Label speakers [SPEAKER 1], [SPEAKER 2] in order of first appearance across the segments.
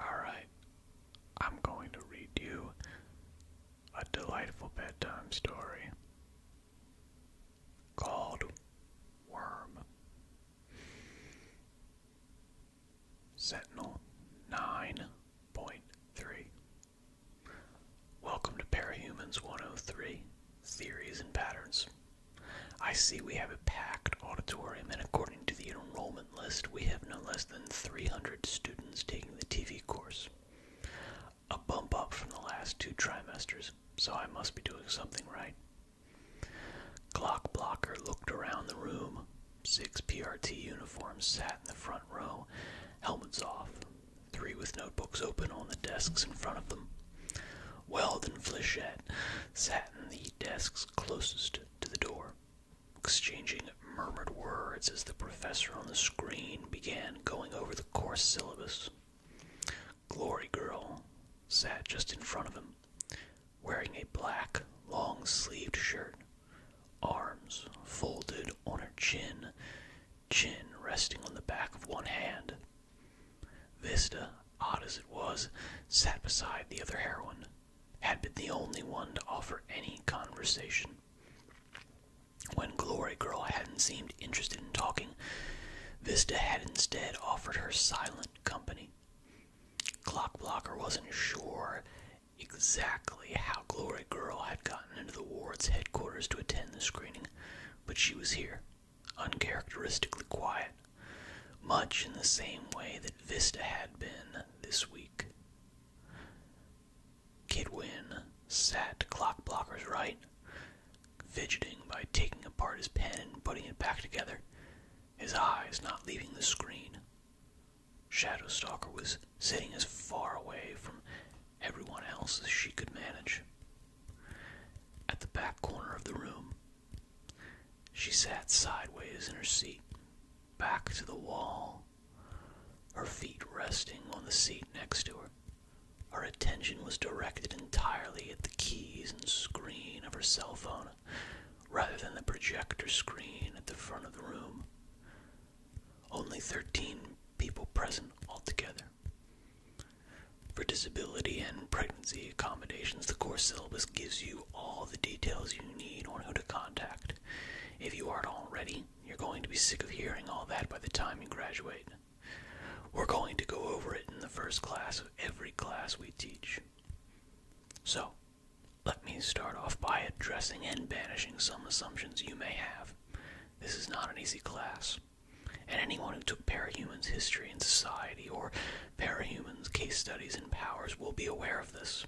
[SPEAKER 1] Alright, I'm going to read you a delightful bedtime story called Worm. Sentinel 9.3. Welcome to Parahumans 103 Theories and Patterns. I see we have a packed auditorium, and according to the enrollment list, we have no less than 300 students taking the TV course. A bump up from the last two trimesters, so I must be doing something right. Clock blocker looked around the room. Six PRT uniforms sat in the front row, helmets off, three with notebooks open on the desks in front of them. Weld and Flechette sat in the desks closest to the door, exchanging murmured words as the professor on the screen began going over the course syllabus. Glory Girl sat just in front of him, wearing a black, long sleeved shirt, arms folded on her chin, chin resting on the back of one hand. Vista, odd as it was, sat beside the other heroine, had been the only one to offer any conversation. When Glory Girl hadn't seemed interested in talking, Vista had instead offered her silent company. Clock Blocker wasn't sure exactly how Glory Girl had gotten into the ward's headquarters to attend the screening, but she was here, uncharacteristically quiet, much in the same way that Vista had been this week. Kidwin sat Clock Blocker's right, fidgeting by taking apart his pen and putting it back together, his eyes not leaving the screen. Shadowstalker was sitting as far away from everyone else as she could manage. At the back corner of the room, she sat sideways in her seat, back to the wall, her feet resting on the seat next to her. Her attention was directed entirely at the keys and screen of her cell phone, rather than the projector screen at the front of the room. Only 13 people present altogether. For disability and pregnancy accommodations, the course syllabus gives you all the details you need on who to contact. If you aren't already, you're going to be sick of hearing all that by the time you graduate. We're going to go over it in the first class of every class we teach. So, let me start off by addressing and banishing some assumptions you may have. This is not an easy class, and anyone who took parahumans history and society or Parahumans, case studies, and powers will be aware of this.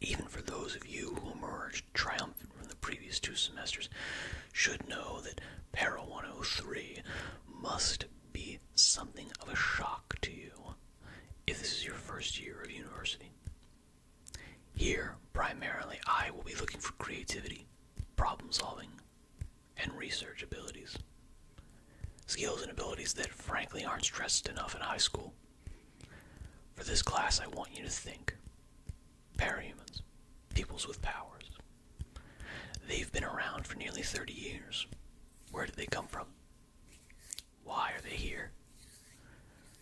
[SPEAKER 1] Even for those of you who emerged triumphant from the previous two semesters, should know that Para 103 must be something of a shock to you if this is your first year of university. Here, primarily, I will be looking for creativity, problem solving, and research abilities. Skills and abilities that frankly aren't stressed enough in high school. For this class, I want you to think. Parahumans, peoples with powers. They've been around for nearly 30 years. Where did they come from? Why are they here?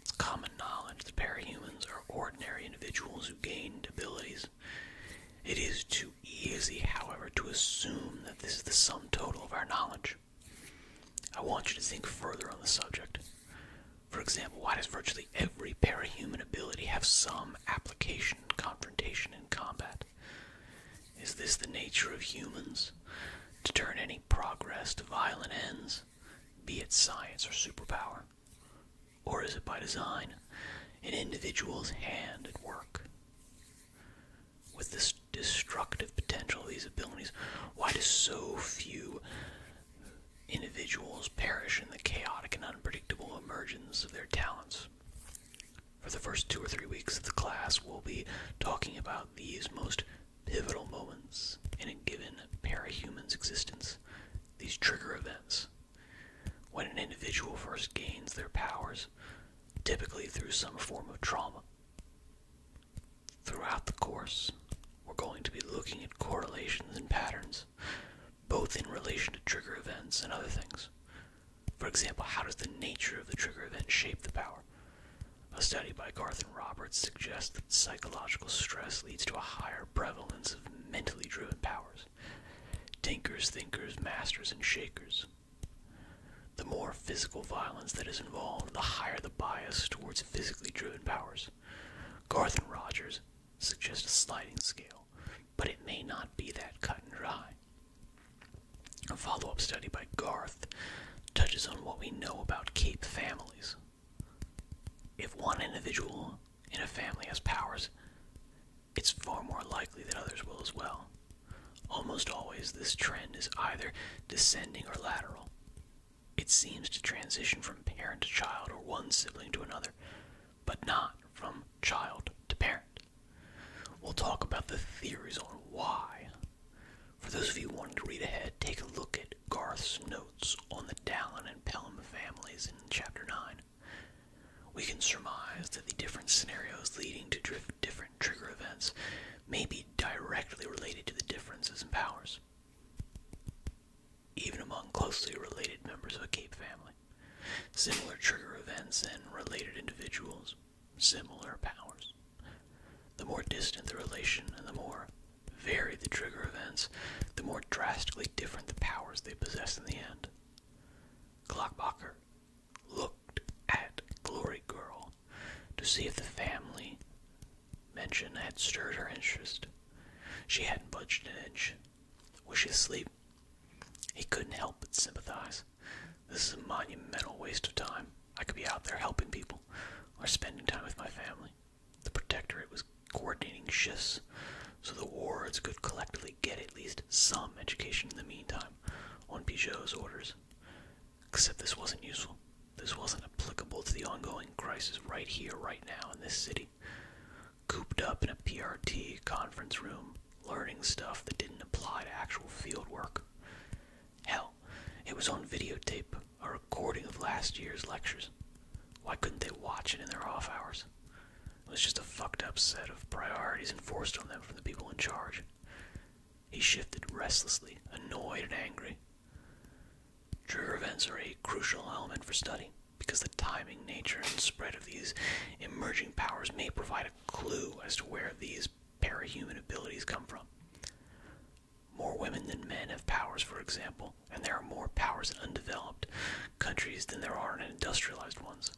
[SPEAKER 1] It's common knowledge that parahumans are ordinary individuals who gained abilities. It is too easy, however, to assume that this is the sum total of our knowledge. I want you to think further on the subject. For example, why does virtually every parahuman ability have some application, in confrontation, and combat? Is this the nature of humans? To turn any progress to violent ends, be it science or superpower? Or is it by design, an individual's hand at work? with this destructive potential of these abilities, why do so few individuals perish in the chaotic and unpredictable emergence of their talents? For the first two or three weeks of the class, we'll be talking about these most pivotal moments in a given parahuman's existence, these trigger events. When an individual first gains their powers, typically through some form of trauma. Throughout the course, we're going to be looking at correlations and patterns, both in relation to trigger events and other things. For example, how does the nature of the trigger event shape the power? A study by Garth and Roberts suggests that psychological stress leads to a higher prevalence of mentally driven powers. Tinkers, thinkers, masters, and shakers the more physical violence that is involved, the higher the bias towards physically driven powers. Garth and Rogers suggest a sliding scale, but it may not be that cut and dry. A follow up study by Garth touches on what we know about Cape families. If one individual in a family has powers, it's far more likely that others will as well. Almost always, this trend is either descending or lateral. It seems to transition from parent to child or one sibling to another, but not from child to parent. We'll talk about the theories on why. For those of you wanting to read ahead, take a look at Garth's notes on the Dallin and Pelham families in Chapter 9. We can surmise that the different scenarios leading to different trigger events may be directly related to the differences in powers, even among closely related members of a Cape family. Similar trigger events and related individuals, similar powers. The more distant the relation and the more varied the trigger events, the more drastically different the powers they possess in the end. Glockbacher looked at Glory Girl to see if the family mention had stirred her interest. She hadn't budged an inch. Was she asleep? He couldn't help but sympathize. This is a monumental waste of time. I could be out there helping people or spending time with my family. The Protectorate was coordinating shifts so the wards could collectively get at least some education in the meantime on Peugeot's orders. Except this wasn't useful. This wasn't applicable to the ongoing crisis right here, right now, in this city. Cooped up in a PRT conference room, learning stuff that didn't apply to actual field work. Hell, it was on videotape, a recording of last year's lectures. Why couldn't they watch it in their off hours? It was just a fucked up set of priorities enforced on them from the people in charge. He shifted restlessly, annoyed and angry. Trigger events are a crucial element for study because the timing, nature, and spread of these emerging powers may provide a clue as to where these parahuman abilities come from. More women than men have powers, for example, and there are more powers in undeveloped countries than there are in industrialized ones.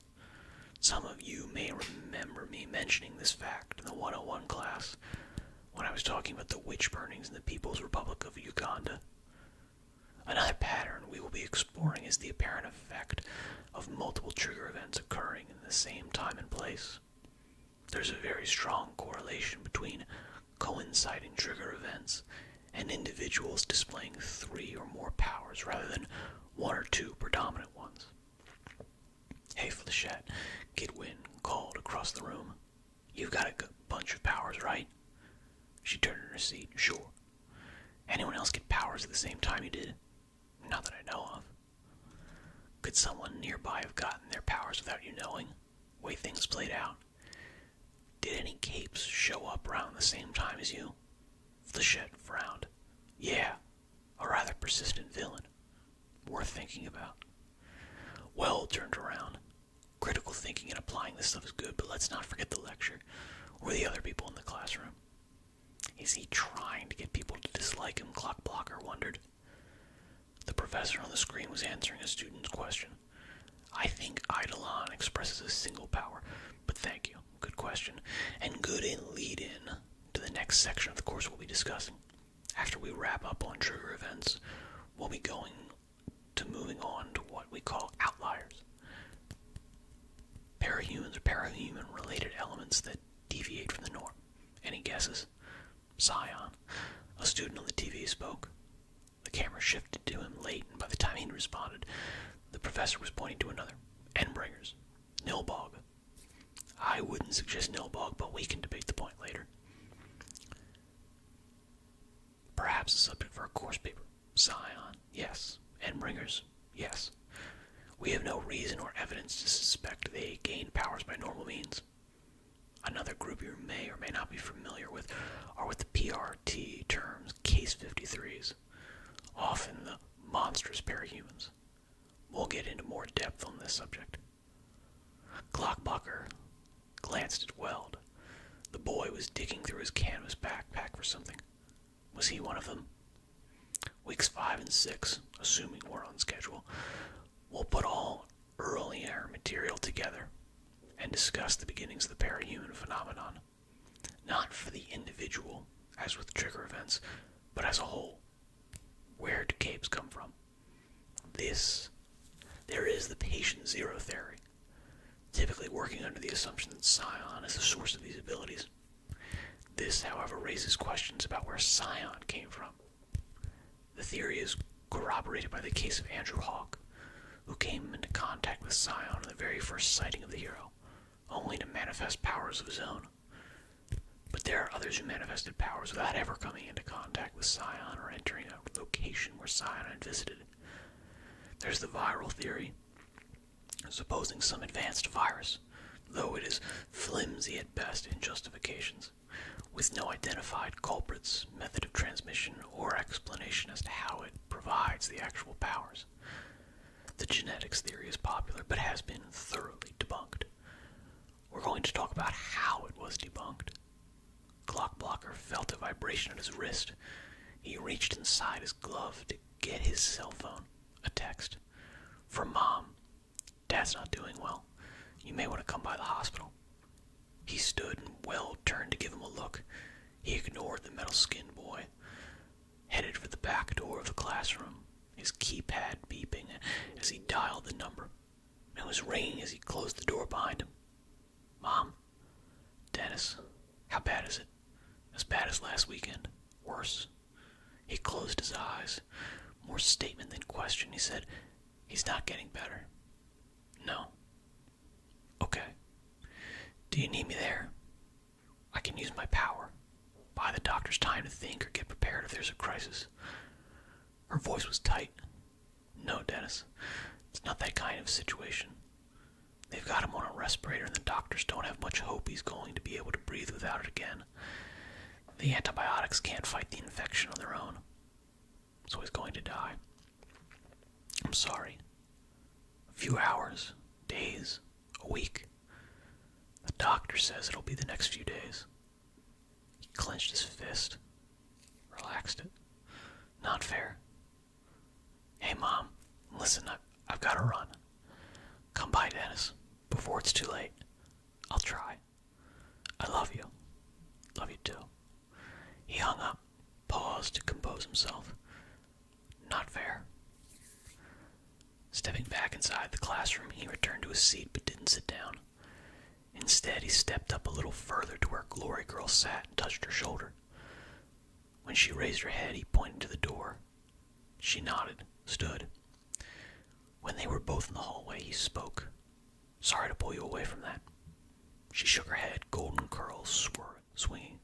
[SPEAKER 1] Some of you may remember me mentioning this fact in the 101 class when I was talking about the witch burnings in the People's Republic of Uganda. Another pattern we will be exploring is the apparent effect of multiple trigger events occurring in the same time and place. There's a very strong correlation between coinciding trigger events and individuals displaying three or more powers rather than one or two predominant ones. Hey, Flechette, Kidwin called across the room. you got a bunch of powers, right? She turned in her seat. Sure. Anyone else get powers at the same time you did? Not that I know of. Could someone nearby have gotten their powers without you knowing? Way things played out. Did any capes show up around the same time as you? Flechette frowned. Yeah, a rather persistent villain. Worth thinking about. Well turned around. Critical thinking and applying this stuff is good, but let's not forget the lecture or the other people in the classroom. Is he trying to get people to dislike him? Clock Blocker wondered. The professor on the screen was answering a student's question. I think Eidolon expresses a single power, but thank you. Good question. And good in lead in to the next section of the course we'll be discussing. After we wrap up on trigger events, we'll be going to moving on to what we call outliers. Parahumans or parahuman related elements that deviate from the norm. Any guesses? Scion. A student on the TV spoke. The camera shifted to him late, and by the time he responded, the professor was pointing to another. Endbringers. Nilbog. I wouldn't suggest Nilbog, but we can debate the point later. Perhaps a subject for a course paper. Scion, yes. And Ringers, yes. We have no reason or evidence to suspect they gained powers by normal means. Another group you may or may not be familiar with are with the PRT terms case 53s often the monstrous parahumans. We'll get into more depth on this subject. Glockbacher glanced at Weld. The boy was digging through his canvas backpack for something. Was he one of them? Weeks five and six, assuming we're on schedule, we'll put all early air material together and discuss the beginnings of the parahuman phenomenon. Not for the individual, as with trigger events, but as a whole. Where do capes come from? This. There is the patient zero theory, typically working under the assumption that Scion is the source of these abilities. This, however, raises questions about where Scion came from. The theory is corroborated by the case of Andrew Hawk, who came into contact with Scion on the very first sighting of the hero, only to manifest powers of his own. But there are others who manifested powers without ever coming into contact with Scion or entering a location where Scion had visited. There's the viral theory, supposing some advanced virus, though it is flimsy at best in justifications, with no identified culprits, method of transmission, or explanation as to how it provides the actual powers. The genetics theory is popular but has been thoroughly debunked. We're going to talk about how it was debunked. Clock felt a vibration at his wrist. He reached inside his glove to get his cell phone, a text. From mom, dad's not doing well. You may want to come by the hospital. He stood and well turned to give him a look. He ignored the metal skinned boy headed for the back door of the classroom, his keypad beeping as he dialed the number. It was ringing as he closed the door behind him. Mom? Dennis? How bad is it? As bad as last weekend. Worse. He closed his eyes. More statement than question. He said, He's not getting better. No. Okay. Do you need me there? I can use my power. Buy the doctors time to think or get prepared if there's a crisis. Her voice was tight. No, Dennis. It's not that kind of situation. They've got him on a respirator, and the doctors don't have much hope he's going to be able to breathe without it again. The antibiotics can't fight the infection on their own, so he's going to die. I'm sorry. A few hours, days, a week. The doctor says it'll be the next few days. He clenched his fist, relaxed it. Not fair. Hey, Mom, listen, I, I've got to run. Come by, Dennis, before it's too late. I'll try. I love you. Love you too. He hung up, paused to compose himself, not fair. Stepping back inside the classroom, he returned to his seat but didn't sit down. Instead, he stepped up a little further to where Glory Girl sat and touched her shoulder. When she raised her head, he pointed to the door. She nodded, stood. When they were both in the hallway, he spoke. Sorry to pull you away from that. She shook her head, golden curls swirling four swinging.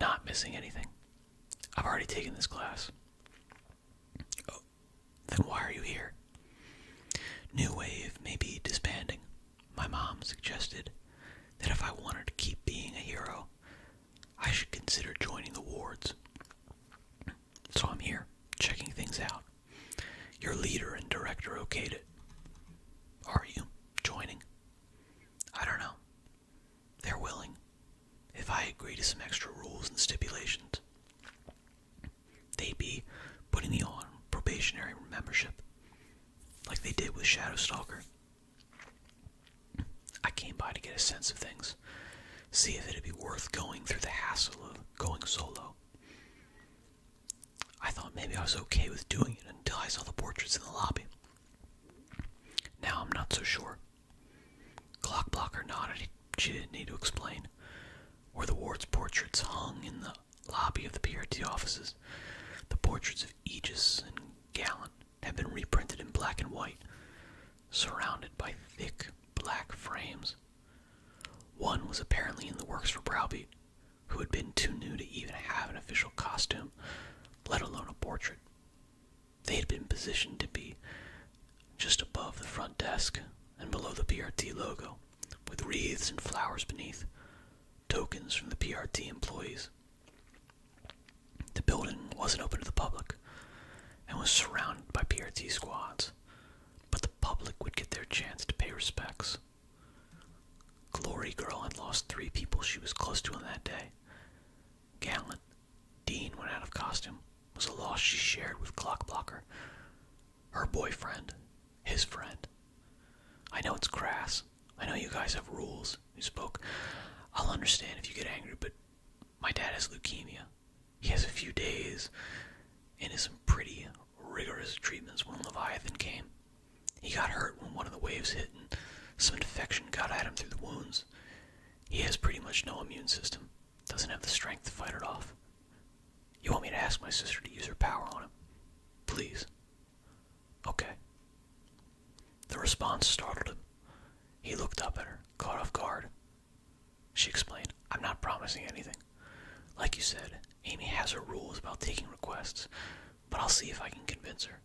[SPEAKER 1] Not missing anything. I've already taken this class. Oh, then why are you here? New Wave may be disbanding. My mom suggested that if I wanted to keep being a hero, I should consider joining the wards. So I'm here, checking things out. Your leader and director okayed it. Are you joining? I don't know. They're willing. If I agree to some extra rules and stipulations, they'd be putting me on probationary membership, like they did with Shadow Stalker. I came by to get a sense of things, see if it'd be worth going through the hassle of going solo. I thought maybe I was okay with doing it until I saw the portraits in the lobby. Now I'm not so sure. Clockblocker nodded. she didn't need to explain. Were the ward's portraits hung in the lobby of the PRT offices? The portraits of Aegis and Gallant had been reprinted in black and white, surrounded by thick black frames. One was apparently in the works for Browbeat, who had been too new to even have an official costume, let alone a portrait. They had been positioned to be just above the front desk and below the PRT logo, with wreaths and flowers beneath, tokens from the PRT employees. The building wasn't open to the public and was surrounded by PRT squads, but the public would get their chance to pay respects. Glory Girl had lost three people she was close to on that day. Gallant, Dean went out of costume, was a loss she shared with Clockblocker. Her boyfriend, his friend. I know it's crass. I know you guys have rules, you spoke. I'll understand if you get angry, but my dad has leukemia. He has a few days and is some pretty rigorous treatments when Leviathan came. He got hurt when one of the waves hit and some infection got at him through the wounds. He has pretty much no immune system, doesn't have the strength to fight it off. You want me to ask my sister to use her power on him? Please. Okay. The response startled him. He looked up at her, caught off guard. She explained, I'm not promising anything. Like you said, Amy has her rules about taking requests, but I'll see if I can convince her.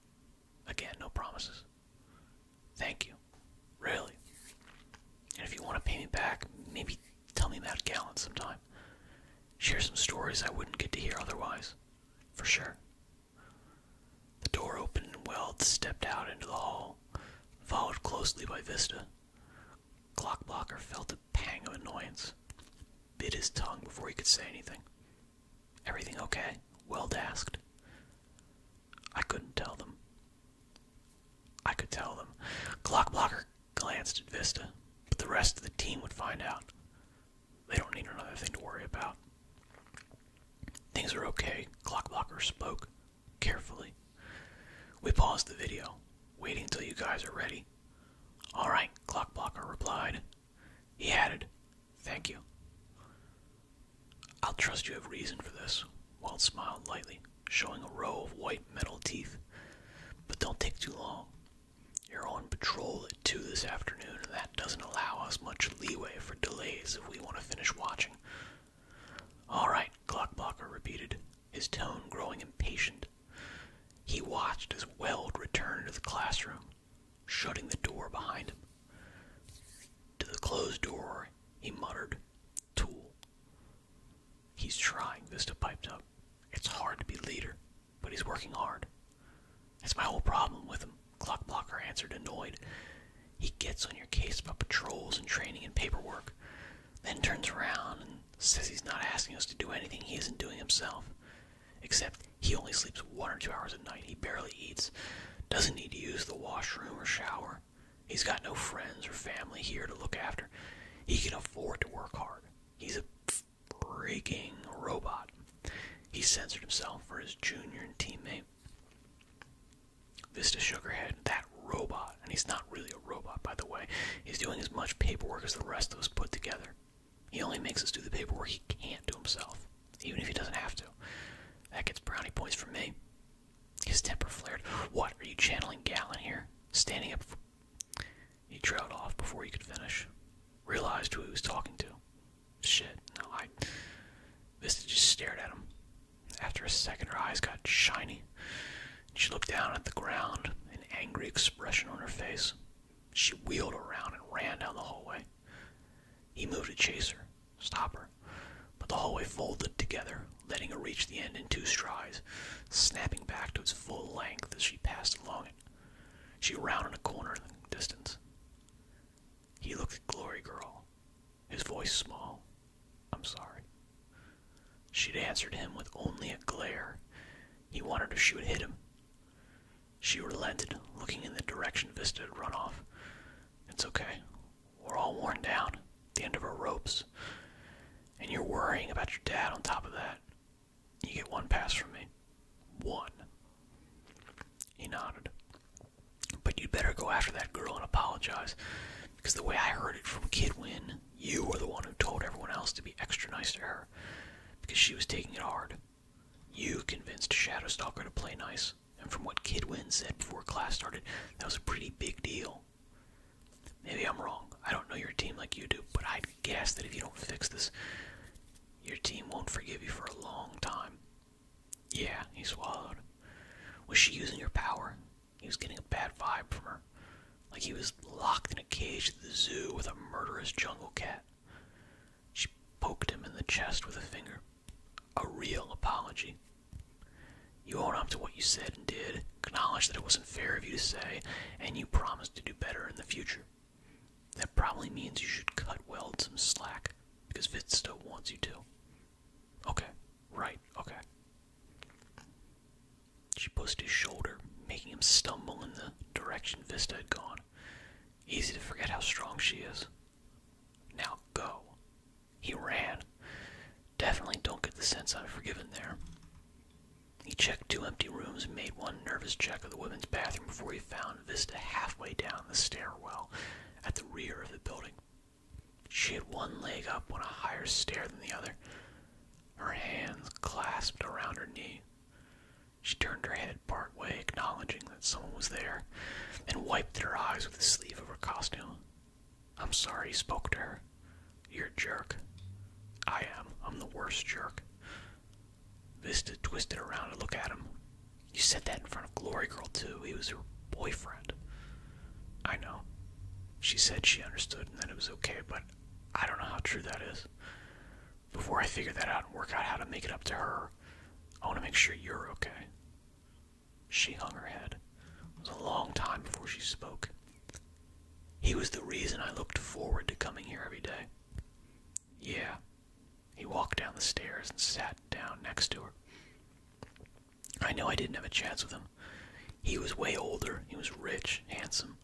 [SPEAKER 1] Again, no promises. Thank you. Really. And if you want to pay me back, maybe tell me about Gallant sometime. Share some stories I wouldn't get to hear otherwise. For sure. The door opened and Weld stepped out into the hall, followed closely by Vista. Clock felt a pang of annoyance, bit his tongue before he could say anything. Everything okay? Weld asked. I couldn't tell them. I could tell them. Clockblocker glanced at Vista, but the rest of the team would find out. They don't need another thing to worry about. Things are okay, Clockblocker spoke, carefully. We paused the video, waiting until you guys are ready. All right, Clockblocker replied. He added, Thank you. I'll trust you have reason for this, Walt smiled lightly, showing a row of white metal teeth. But don't take too long. You're on patrol at 2 this afternoon, and that doesn't allow us much leeway for delays if we want to finish watching. All right, Glockblocker repeated, his tone growing impatient. He watched as Weld returned to the classroom, shutting the door behind him. To the closed door, he muttered, Tool. He's trying, Vista piped up. It's hard to be leader, but he's working hard. That's my whole problem with him, Clockblocker answered, annoyed. He gets on your case about patrols and training and paperwork, then turns around and says he's not asking us to do anything he isn't doing himself. Except he only sleeps one or two hours a night. He barely eats, doesn't need to use the washroom or shower. He's got no friends or family here to look after. He can afford to work hard. He's a freaking robot. He censored himself for his junior teammate. Vista Sugarhead, that robot, and he's not really a robot, by the way. He's doing as much paperwork as the rest of us put together. He only makes us do the paperwork he can't do himself, even if he doesn't have to. That gets brownie points from me. His temper flared. What, are you channeling Gallon here? Standing up. He trailed off before he could finish. Realized who he was talking to. Shit, no, I. Vista just stared at him. After a second, her eyes got shiny. She looked down at the ground, an angry expression on her face. She wheeled around and ran down the hallway. He moved to chase her, stop her, but the hallway folded together, letting her reach the end in two strides, snapping back to its full length as she passed along it. She rounded a corner in the distance. He looked at Glory Girl, his voice small. I'm sorry. She'd answered him with only a glare. He wanted her she would hit him. She relented, looking in the direction Vista had run off. It's okay. We're all worn down. The end of our ropes. And you're worrying about your dad on top of that. You get one pass from me. One. He nodded. But you'd better go after that girl and apologize. Because the way I heard it from Kid Win, you were the one who told everyone else to be extra nice to her. Because she was taking it hard. You convinced Shadowstalker to play nice, and from what Kidwin said before class started, that was a pretty big deal. Maybe I'm wrong. I don't know your team like you do, but I'd guess that if you don't fix this, your team won't forgive you for a long time. Yeah, he swallowed. Was she using your power? He was getting a bad vibe from her. Like he was locked in a cage at the zoo with a murderous jungle cat. She poked him in the chest with a finger. A real apology. You own up to what you said and did, acknowledge that it wasn't fair of you to say, and you promise to do better in the future. That probably means you should cut Weld some slack, because Vista wants you to. Okay, right, okay. She pushed his shoulder, making him stumble in the direction Vista had gone. Easy to forget how strong she is. Now go. He ran. Definitely don't get the sense I'm forgiven there. He checked two empty rooms and made one nervous check of the women's bathroom before he found Vista halfway down the stairwell at the rear of the building. She had one leg up on a higher stair than the other, her hands clasped around her knee. She turned her head partway, acknowledging that someone was there, and wiped her eyes with the sleeve of her costume. I'm sorry he spoke to her. You're a jerk. I am. I'm the worst jerk. Vista twisted around to look at him. You said that in front of Glory Girl, too. He was her boyfriend. I know. She said she understood and that it was okay, but I don't know how true that is before I figure that out and work out how to make it up to her, I want to make sure you're okay. She hung her head. It was a long time before she spoke. He was the reason I looked forward to coming here every day. Yeah. He walked down the stairs and sat down next to her. I know I didn't have a chance with him. He was way older. He was rich, handsome,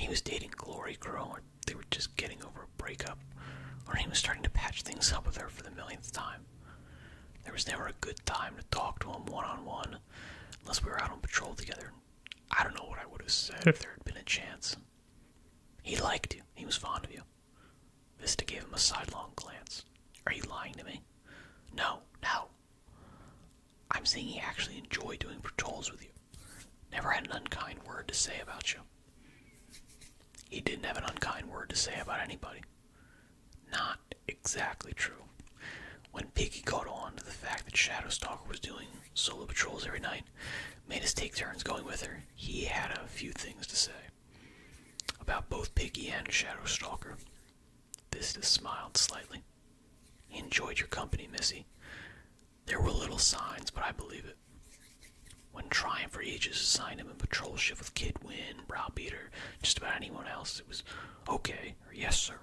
[SPEAKER 1] he was dating Glory Girl, or they were just getting over a breakup, or he was starting to patch things up with her for the millionth time. There was never a good time to talk to him one on one, unless we were out on patrol together. I don't know what I would have said if there had been a chance. He liked you. He was fond of you. Vista gave him a sidelong glance. Are you lying to me? No, no. I'm saying he actually enjoyed doing patrols with you. Never had an unkind word to say about you. He didn't have an unkind word to say about anybody. Not exactly true. When Piggie caught on to the fact that Shadow Stalker was doing solo patrols every night, made us take turns going with her, he had a few things to say. About both Piggie and Shadow Shadowstalker. Vista smiled slightly. He enjoyed your company, Missy. There were little signs, but I believe it. When trying for Aegis assigned him a patrol shift with Kid Wynn, Browbeater, just about anyone else, it was okay or yes, sir.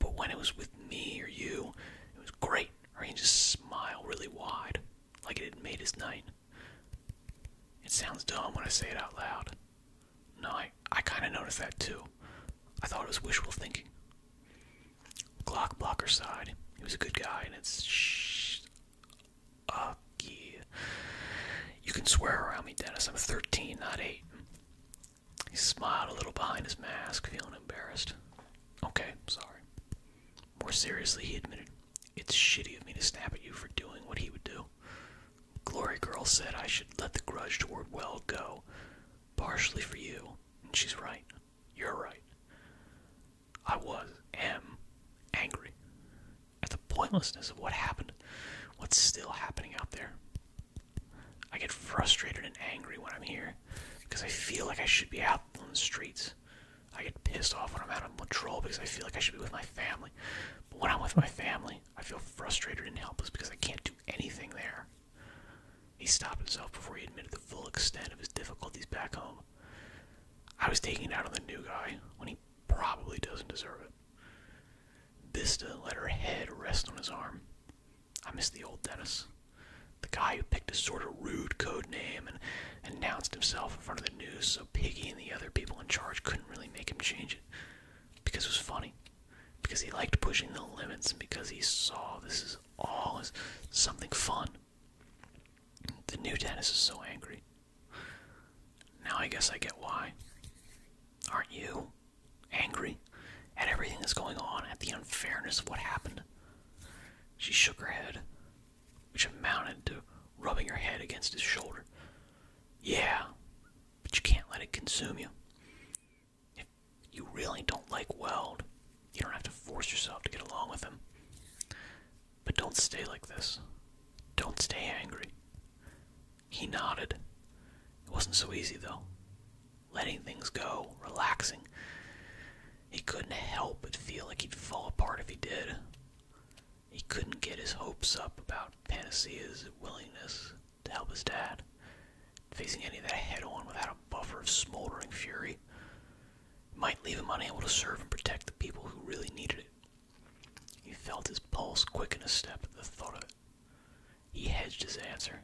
[SPEAKER 1] But when it was with me or you, it was great, or he'd just smile really wide, like it had made his night. It sounds dumb when I say it out loud. No, I, I kind of noticed that too. I thought it was wishful thinking. Glock blocker side. He was a good guy, and it's shh, uh, You can swear around me, Dennis. I'm 13, not 8. He smiled a little behind his mask, feeling embarrassed. Okay, sorry. More seriously, he admitted, It's shitty of me to snap at you for doing what he would do. Glory Girl said I should let the grudge toward Well go, partially for you, and she's right. You're right. I was, am, angry at the pointlessness of what happened, what's still happening out there. I get frustrated and angry when I'm here because I feel like I should be out on the streets. I get pissed off when I'm out on patrol because I feel like I should be with my family. But when I'm with my family, I feel frustrated and helpless because I can't do anything there. He stopped himself before he admitted the full extent of his difficulties back home. I was taking it out on the new guy when he probably doesn't deserve it. Vista let her head rest on his arm. I miss the old Dennis. The guy who picked a sort of rude code name and announced himself in front of the news so Piggy and the other people in charge couldn't really make him change it. Because it was funny. Because he liked pushing the limits because he saw this is always oh, something fun. The new Dennis is so angry. Now I guess I get why. Aren't you angry at everything that's going on, at the unfairness of what happened? She shook her head, which amounted to rubbing her head against his shoulder. Yeah, but you can't let it consume you. If you really don't like Weld, you don't have to force yourself to get along with him. But don't stay like this. Don't stay angry. He nodded. It wasn't so easy, though. Letting things go, relaxing. He couldn't help but feel like he'd fall apart if he did. He couldn't get his hopes up about Panacea's willingness to help his dad. Facing any of that head on without a buffer of smoldering fury might leave him unable to serve and protect the people who really needed it. He felt his pulse quicken a step at the thought of it. He hedged his answer.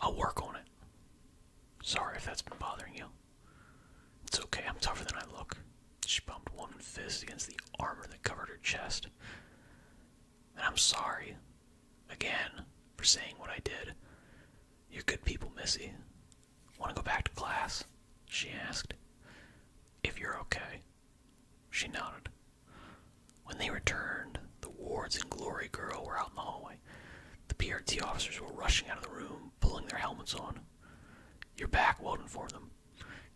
[SPEAKER 1] I'll work on it. Sorry if that's been bothering you. It's okay, I'm tougher than I look. She bumped one fist against the armor that covered her chest. And I'm sorry, again, for saying what I did. You're good people, Missy. Want to go back to class? She asked. If you're okay. She nodded. When they returned, the Wards and Glory Girl were out in the hallway. The PRT officers were rushing out of the room, pulling their helmets on. You're back, Weldon informed them.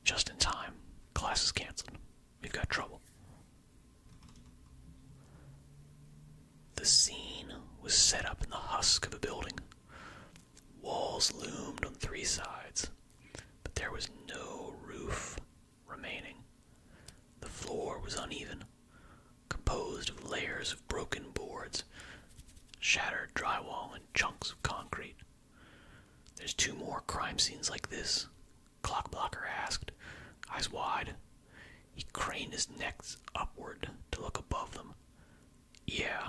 [SPEAKER 1] Just in time. Class is canceled. We've got trouble. The scene was set up in the husk of a building. Walls loomed on three sides, but there was no roof remaining. The floor was uneven, composed of layers of broken boards, shattered drywall, and chunks of concrete. There's two more crime scenes like this Clock blocker asked, eyes wide. He craned his necks upward to look above them. Yeah,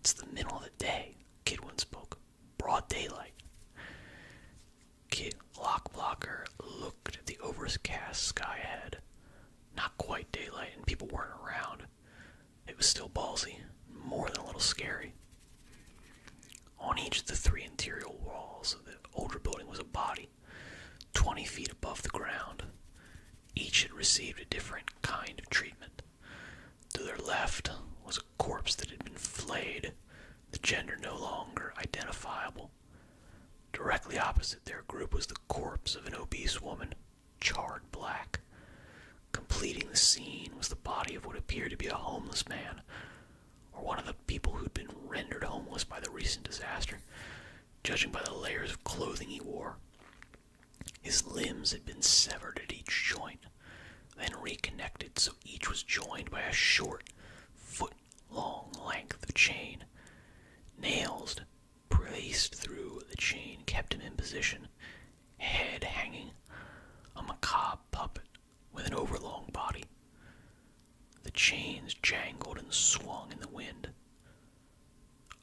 [SPEAKER 1] it's the middle of the day, Kidwin spoke. Broad daylight. Kid Lock Blocker looked at the overcast sky ahead. Not quite daylight, and people weren't around. It was still ballsy, more than a little scary. On each of the three interior walls of the older building was a body 20 feet above the ground. Each had received a different kind of treatment. To their left was a corpse that had been flayed, the gender no longer identifiable. Directly opposite their group was the corpse of an obese woman, charred black. Completing the scene was the body of what appeared to be a homeless man or one of the people who'd been rendered homeless by the recent disaster, judging by the layers of clothing he wore. His limbs had been severed at each joint, then reconnected so each was joined by a short, foot long length of chain. Nails braced through the chain kept him in position, head hanging. on A macabre puppet with an overlong body. The chains jangled and swung in the wind.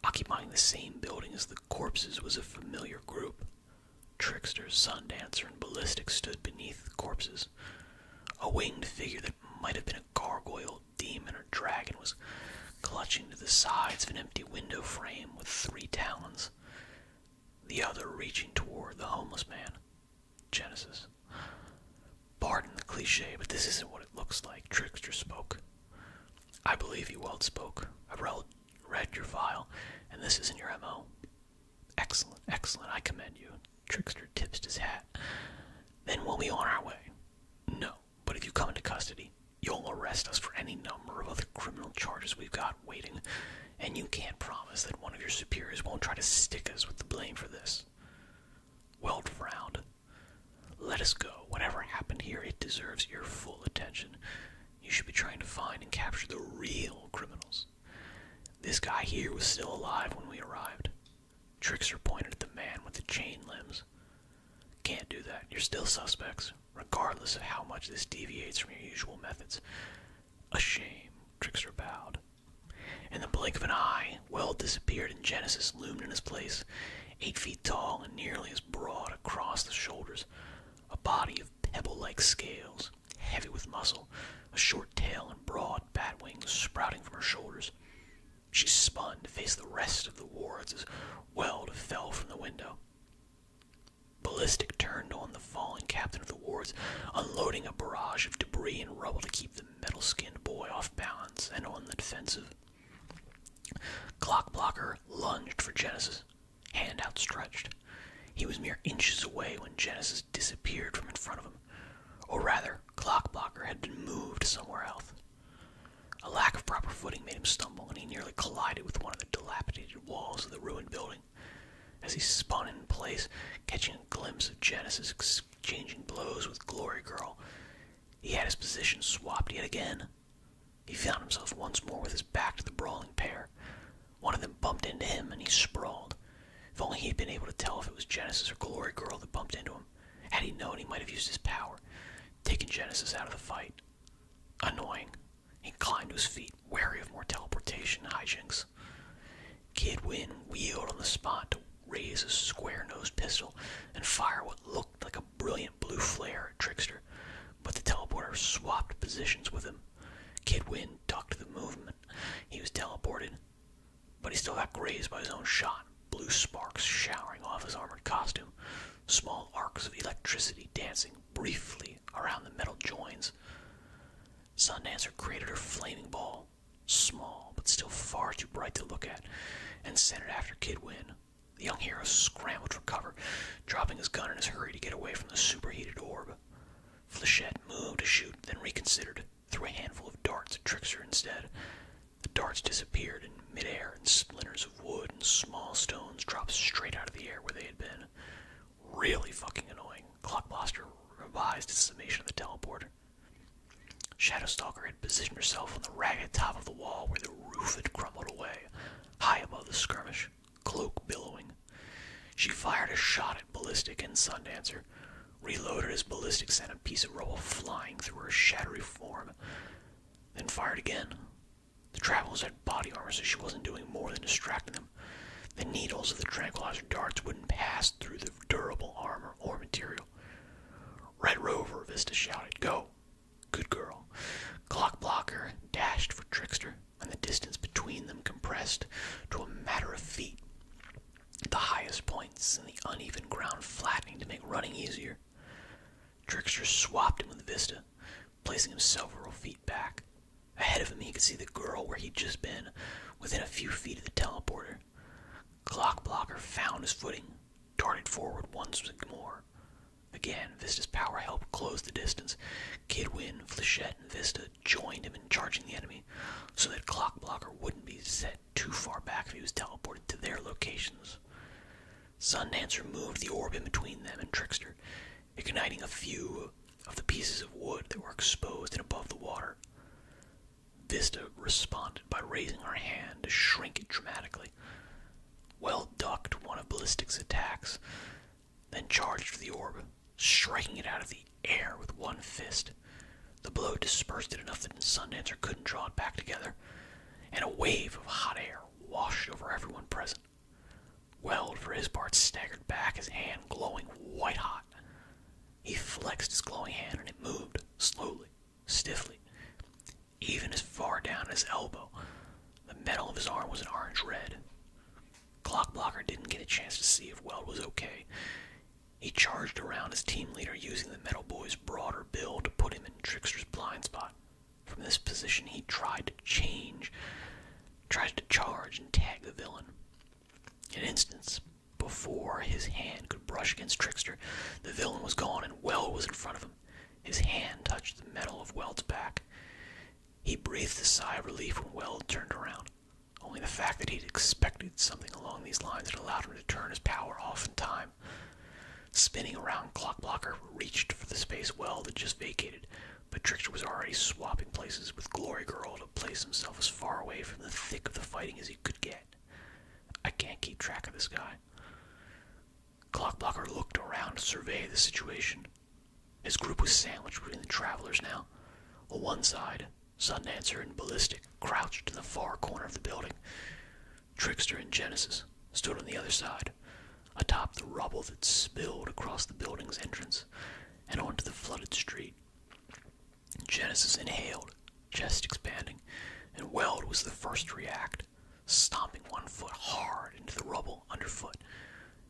[SPEAKER 1] Occupying the same building as the corpses was a familiar group. Trickster, Sun Dancer, and Ballistic stood beneath the corpses. A winged figure that might have been a gargoyle, demon, or dragon was clutching to the sides of an empty window frame with three talons, the other reaching toward the homeless man. Genesis. Pardon the cliche, but this isn't what it looks like. Trickster spoke. I believe you well spoke. I read your file, and this isn't your MO. Excellent, excellent, I commend you. Trickster tipped his hat. Then we'll be on our way. No, but if you come into custody, you'll arrest us for any number of other criminal charges we've got waiting, and you can't promise that one of your superiors won't try to stick us with the blame for this. Weld world frowned. Let us go. Whatever happened here, it deserves your full attention. You should be trying to find and capture the real criminals. This guy here was still alive when we arrived. Trickster pointed at the man with the chain limbs. Can't do that. You're still suspects, regardless of how much this deviates from your usual methods. A shame, Trickster bowed. In the blink of an eye, Weld disappeared and Genesis loomed in his place, eight feet tall and nearly as broad across the shoulders, a body of pebble-like scales, heavy with muscle, a short tail and broad bat wings sprouting from her shoulders. She spun to face the rest of the wards as Weld fell from the window. Ballistic turned on down the fallen captain of the wards, unloading a barrage of debris and rubble to keep the metal skinned boy off balance and on the defensive. Clock blocker lunged for Genesis, hand outstretched. He was mere inches away when Genesis disappeared from in front of him. Or rather, Clock Blocker had been moved somewhere else. A lack of proper footing made him stumble, and he nearly collided with one of the dilapidated walls of the ruined building. As he spun in place, catching a glimpse of Genesis exchanging blows with Glory Girl, he had his position swapped yet again. He found himself once more with his back to the brawling pair. One of them bumped into him, and he sprawled. If only he had been able to tell if it was Genesis or Glory Girl that bumped into him. Had he known, he might have used his power, taken Genesis out of the fight. Annoying. He climbed to his feet, wary of more teleportation hijinks. Kidwin wheeled on the spot to raise his square-nosed pistol and fire what looked like a brilliant blue flare at Trickster, but the teleporter swapped positions with him. Kidwin ducked the movement. He was teleported, but he still got grazed by his own shot, blue sparks showering off his armored costume, small arcs of electricity dancing briefly around the metal joints. Sundancer created her flaming ball, small but still far too bright to look at, and sent it after Kid Win. The young hero scrambled for cover, dropping his gun in his hurry to get away from the superheated orb. Flechette moved to shoot, then reconsidered, threw a handful of darts at Trickster instead. The darts disappeared in midair, and splinters of wood and small stones dropped straight out of the air where they had been. Really fucking annoying. Clockbuster revised its summation of the teleporter. Stalker had positioned herself on the ragged top of the wall where the roof had crumbled away, high above the skirmish, cloak billowing. She fired a shot at Ballistic and Sundancer, reloaded as Ballistic sent a piece of rubble flying through her shattery form, then fired again. The travelers had body armor, so she wasn't doing more than distracting them. The needles of the tranquilizer darts wouldn't pass through the durable armor or material. Red Rover, Vista shouted, Go! Good girl. Clock blocker dashed for Trickster, and the distance between them compressed to a matter of feet, the highest points and the uneven ground flattening to make running easier. Trickster swapped him with Vista, placing him several feet back. Ahead of him, he could see the girl where he'd just been, within a few feet of the teleporter. Clock blocker found his footing, darted forward once more. Again, Vista's power helped close the distance. Kidwin, Flechette, and Vista joined him in charging the enemy, so that Clock Blocker wouldn't be set too far back if he was teleported to their locations. Sundancer moved the orb in between them and Trickster, igniting a few of the pieces of wood that were exposed and above the water. Vista responded by raising her hand to shrink it dramatically, well ducked one of Ballistic's attacks, then charged for the orb, striking it out of the air with one fist. The blow dispersed it enough that Sundancer couldn't draw it back together, and a wave of hot air washed over everyone present. Weld, for his part, staggered back, his hand glowing white hot. He flexed his glowing hand and it moved, slowly, stiffly, even as far down as his elbow. The metal of his arm was an orange red. Clockblocker didn't get a chance to see if Weld was okay. He charged around his team leader using the metal boy's broader build to put him in Trickster's blind spot. From this position, he tried to change, tried to charge and tag the villain. In an instant, before his hand could brush against Trickster, the villain was gone and Weld was in front of him. His hand touched the metal of Weld's back. He breathed a sigh of relief when Weld turned around. Only the fact that he'd expected something along these lines had allowed him to turn his power off in time. Spinning around, Clock Blocker reached for the space Weld had just vacated, but Trickster was already swapping places with Glory Girl to place himself as far away from the thick of the fighting as he could get. I can't keep track of this guy. Clockblocker looked around to survey the situation. His group was sandwiched between the travelers now. On one side, Sundancer and Ballistic crouched in the far corner of the building. Trickster and Genesis stood on the other side, atop the rubble that spilled across the building's entrance and onto the flooded street. Genesis inhaled, chest expanding, and Weld was the first to react, stomping one foot hard into the rubble underfoot,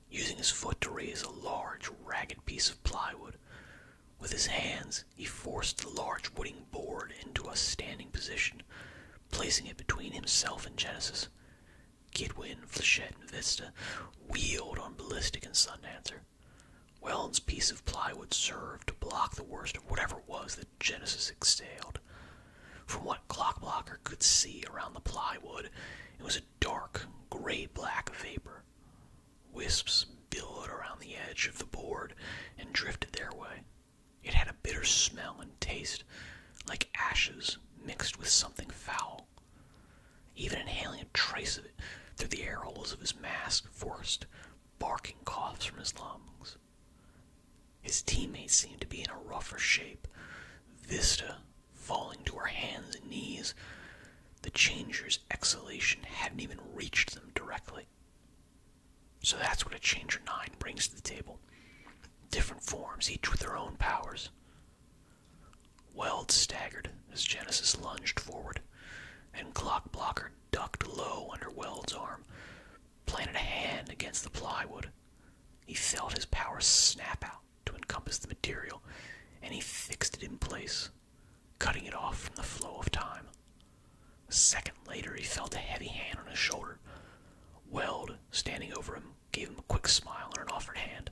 [SPEAKER 1] using his foot to raise a large, ragged piece of plywood. With his hands, he forced the large wooden board into a standing position, placing it between himself and Genesis. Kidwin, Flechette, and Vista wheeled on Ballistic and Sundancer. Wellens' piece of plywood served to block the worst of whatever it was that Genesis exhaled. From what Clockblocker could see around the plywood, it was a dark, gray-black of vapor. Wisps billowed around the edge of the board and drifted their way. It had a bitter smell and taste, like ashes mixed with something foul. Even inhaling a trace of it through the air holes of his mask forced barking coughs from his lungs. His teammates seemed to be in a rougher shape, Vista falling to her hands and knees. The changer's exhalation hadn't even reached them directly. So that's what a Changer 9 brings to the table. Different forms, each with their own powers. Weld staggered as Genesis lunged forward, and Clock Blocker ducked low under Weld's arm, planted a hand against the plywood. He felt his power snap out to encompass the material, and he fixed it in place, cutting it off from the flow of time. A second later, he felt a heavy hand on his shoulder. Weld, standing over him, gave him a quick smile and an offered hand.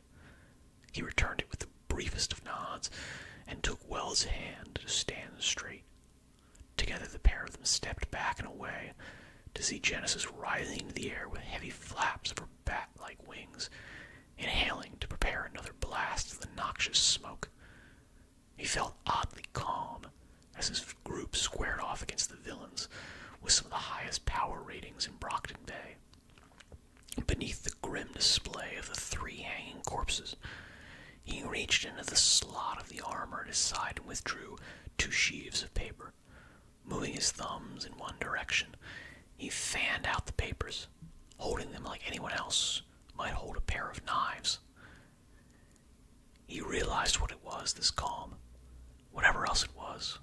[SPEAKER 1] He returned it with the briefest of nods and took Wells' hand to stand straight. Together, the pair of them stepped back and away to see Genesis writhing in the air with heavy flaps of her bat like wings, inhaling to prepare another blast of the noxious smoke. He felt oddly calm as his group squared off against the villains with some of the highest power ratings in Brockton Bay. Beneath the grim display of the three hanging corpses, he reached into the slot of the armor at his side and withdrew two sheaves of paper. Moving his thumbs in one direction, he fanned out the papers, holding them like anyone else might hold a pair of knives. He realized what it was, this calm. Whatever else it was,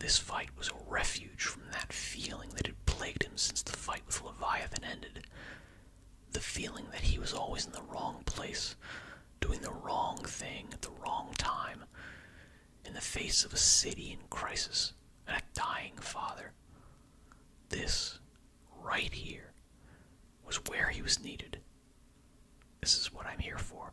[SPEAKER 1] this fight was a refuge from that feeling that had plagued him since the fight with Leviathan ended. The feeling that he was always in the wrong place, doing the wrong thing at the wrong time, in the face of a city in crisis and a dying father. This, right here, was where he was needed. This is what I'm here for.